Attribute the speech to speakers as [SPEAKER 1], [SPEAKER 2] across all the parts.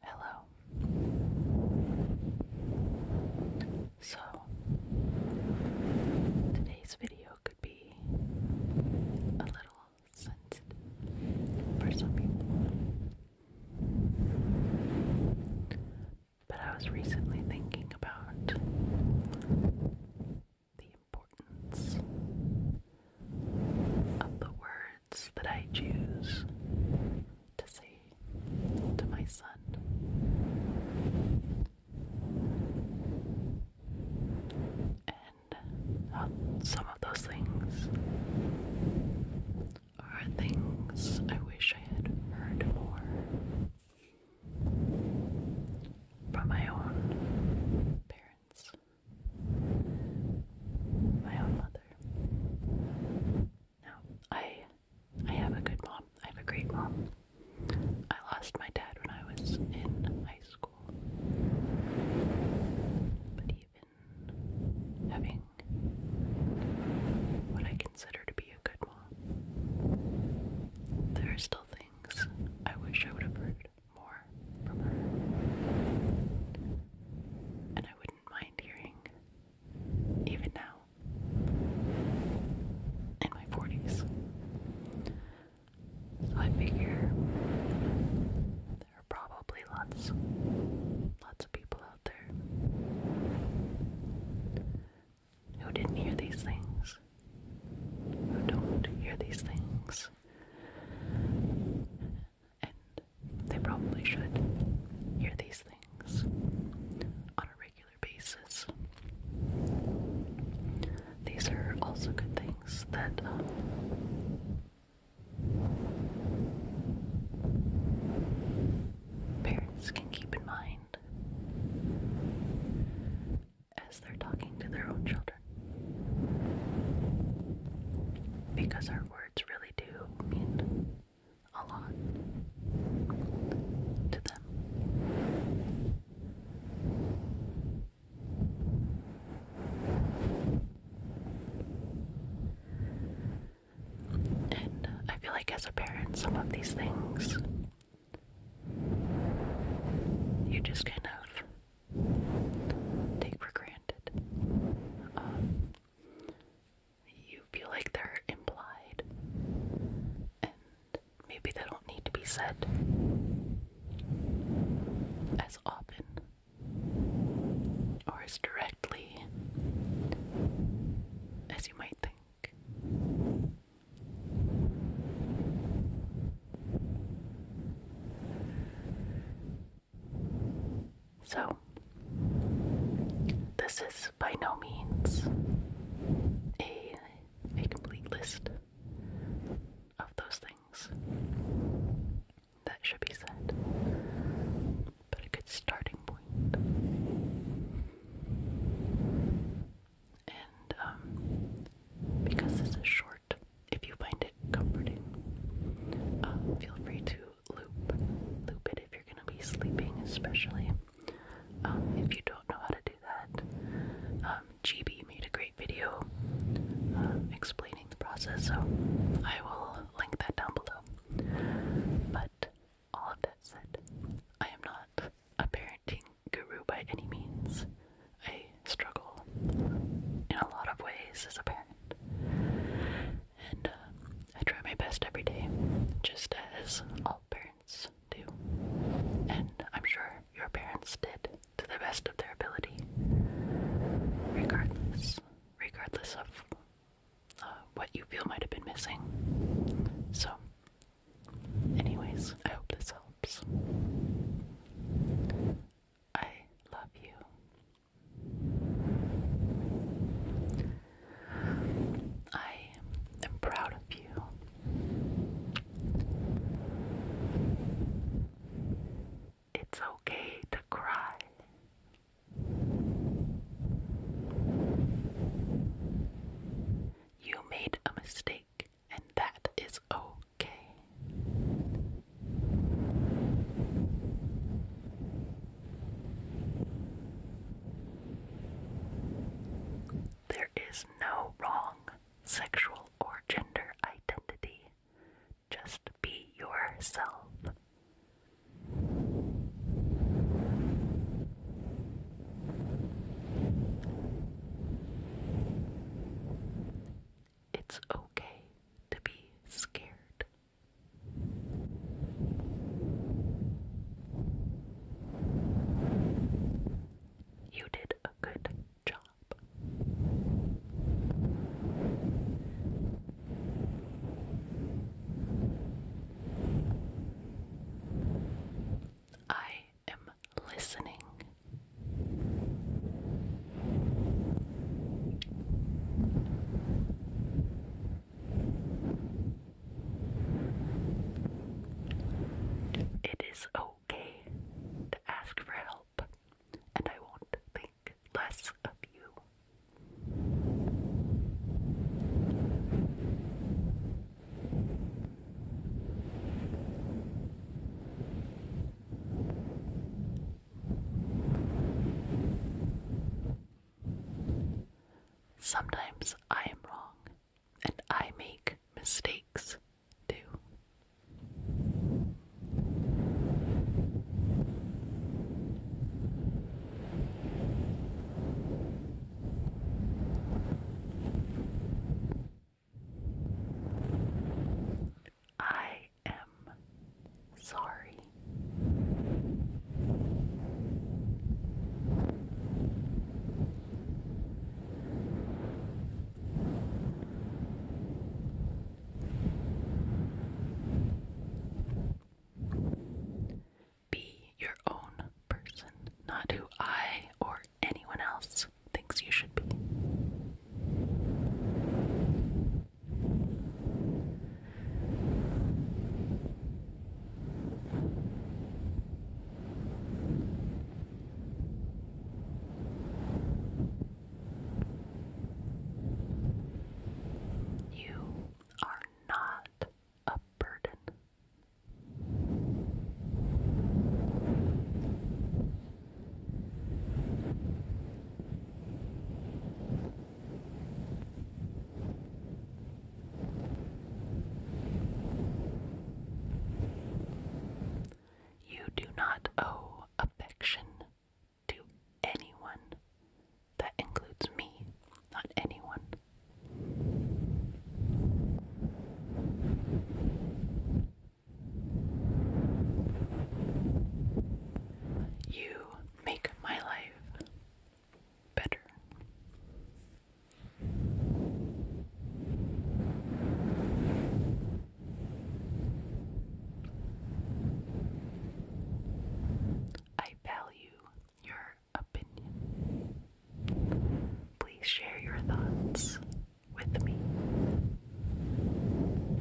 [SPEAKER 1] Hello. So, today's video could be a little sensitive for some people. But I was recently thinking about the importance of the words that I choose to say to my son. And some of those things are things I wish I had heard more from my own parents my own mother. Now, I, I have a good mom. I have a great mom. I lost my dad when I was in high school, but even having what I consider to be a good mom, there are still things I wish I would have heard more from her. And I wouldn't mind hearing, even now, in my 40s. So I figure there are probably lots, lots of people out there who didn't hear these things, who don't hear these things, and they probably should hear these things on a regular basis. These are also good things that um, parents can keep in mind as they're talking to their own children. Because our words really do mean a lot to them. And uh, I feel like as a parent, some of these things you just kind of take for granted. Um, you feel like they're implied, and maybe they don't need to be said as often or as directly as you might think. So, this is by no means a, complete list of those things that should be said, but a good starting point. And um, because this is short, if you find it comforting, uh, feel free to loop loop it if you're gonna be sleeping, especially um, if you don't know how to do that. Um, GB made a great video um, explaining the process, so I will link that down below. But all of that said, I am not a parenting guru by any means. I struggle in a lot of ways as a parent. And uh, I try my best every day, just as all parents do. And I'm sure your parents did to the best of their ability, regardless, regardless of uh, what you feel might have been missing. So, anyways, I hope this helps. I love you. I am proud of you. It's okay to cry. You made a mistake, and that is okay. There is no wrong sexual or gender identity. Just be yourself. It's okay to be scared. You did a good job. I am listening. It is okay to ask for help, and I won't think less of you. Sometimes I am wrong and I make mistakes too. I I am sorry. Be your own person, not who I or anyone else thinks you should be. You are not a burden. You do not owe affection to anyone. That includes me, not anyone. You make my life better. I value your opinion. Please share your thoughts with me.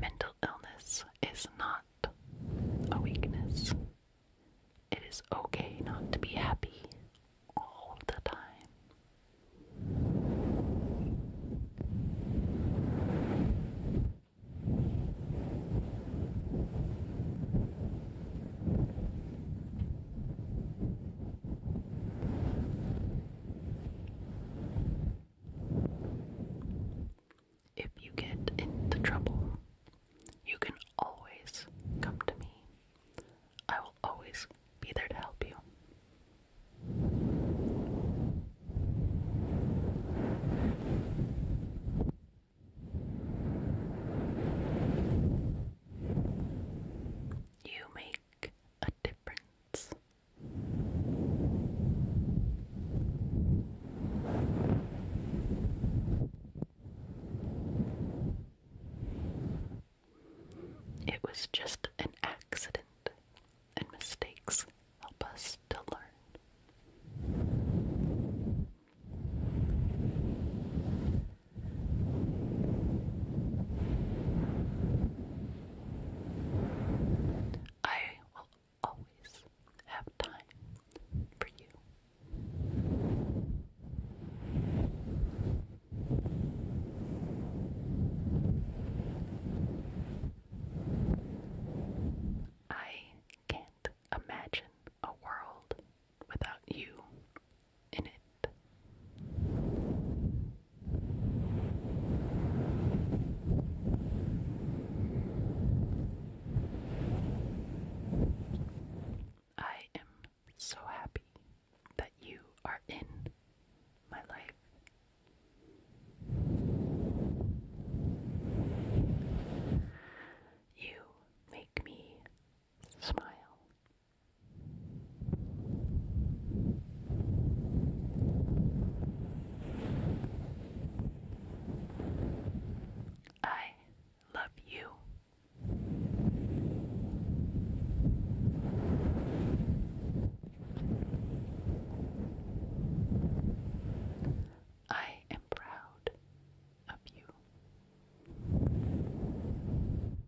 [SPEAKER 1] Mental illness is not a weakness. It is okay not to be happy all the time. If you get into trouble, you can always come to me. I will always be there to help you. You may a difference. It was just an accident, and mistakes help us to learn. I will always have time for you. I can't imagine a world without you in it. I am so happy that you are in my life. You make me smile I love you. I am proud of you.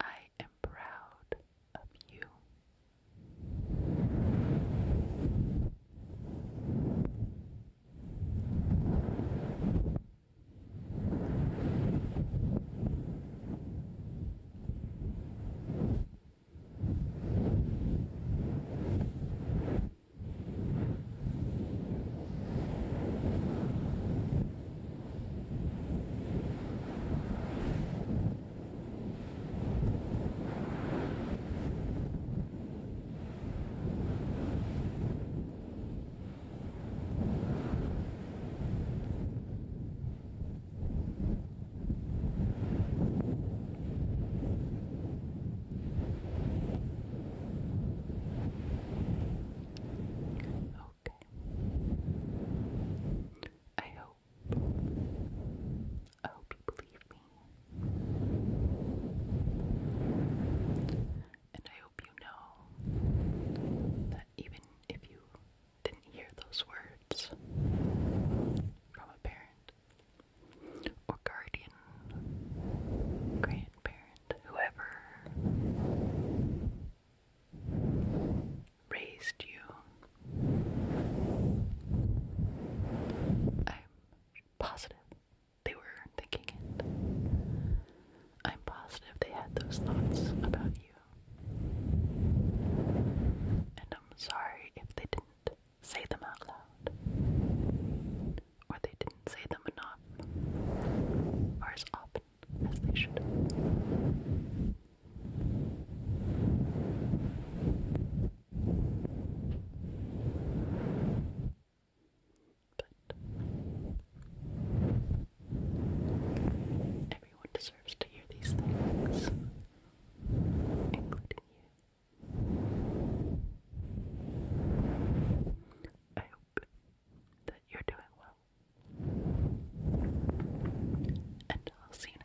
[SPEAKER 1] I am proud of you. Okay. I hope I hope you believe me. And I hope you know that even if you didn't hear those words from a parent or guardian, grandparent, whoever, raised you. I'm positive they were thinking it. I'm positive they had those thoughts about you. And I'm sorry if they didn't say them out loud, or they didn't say them enough, or as often as they should everyone deserves to hear these things, including you. I hope that you're doing well. And I'll see you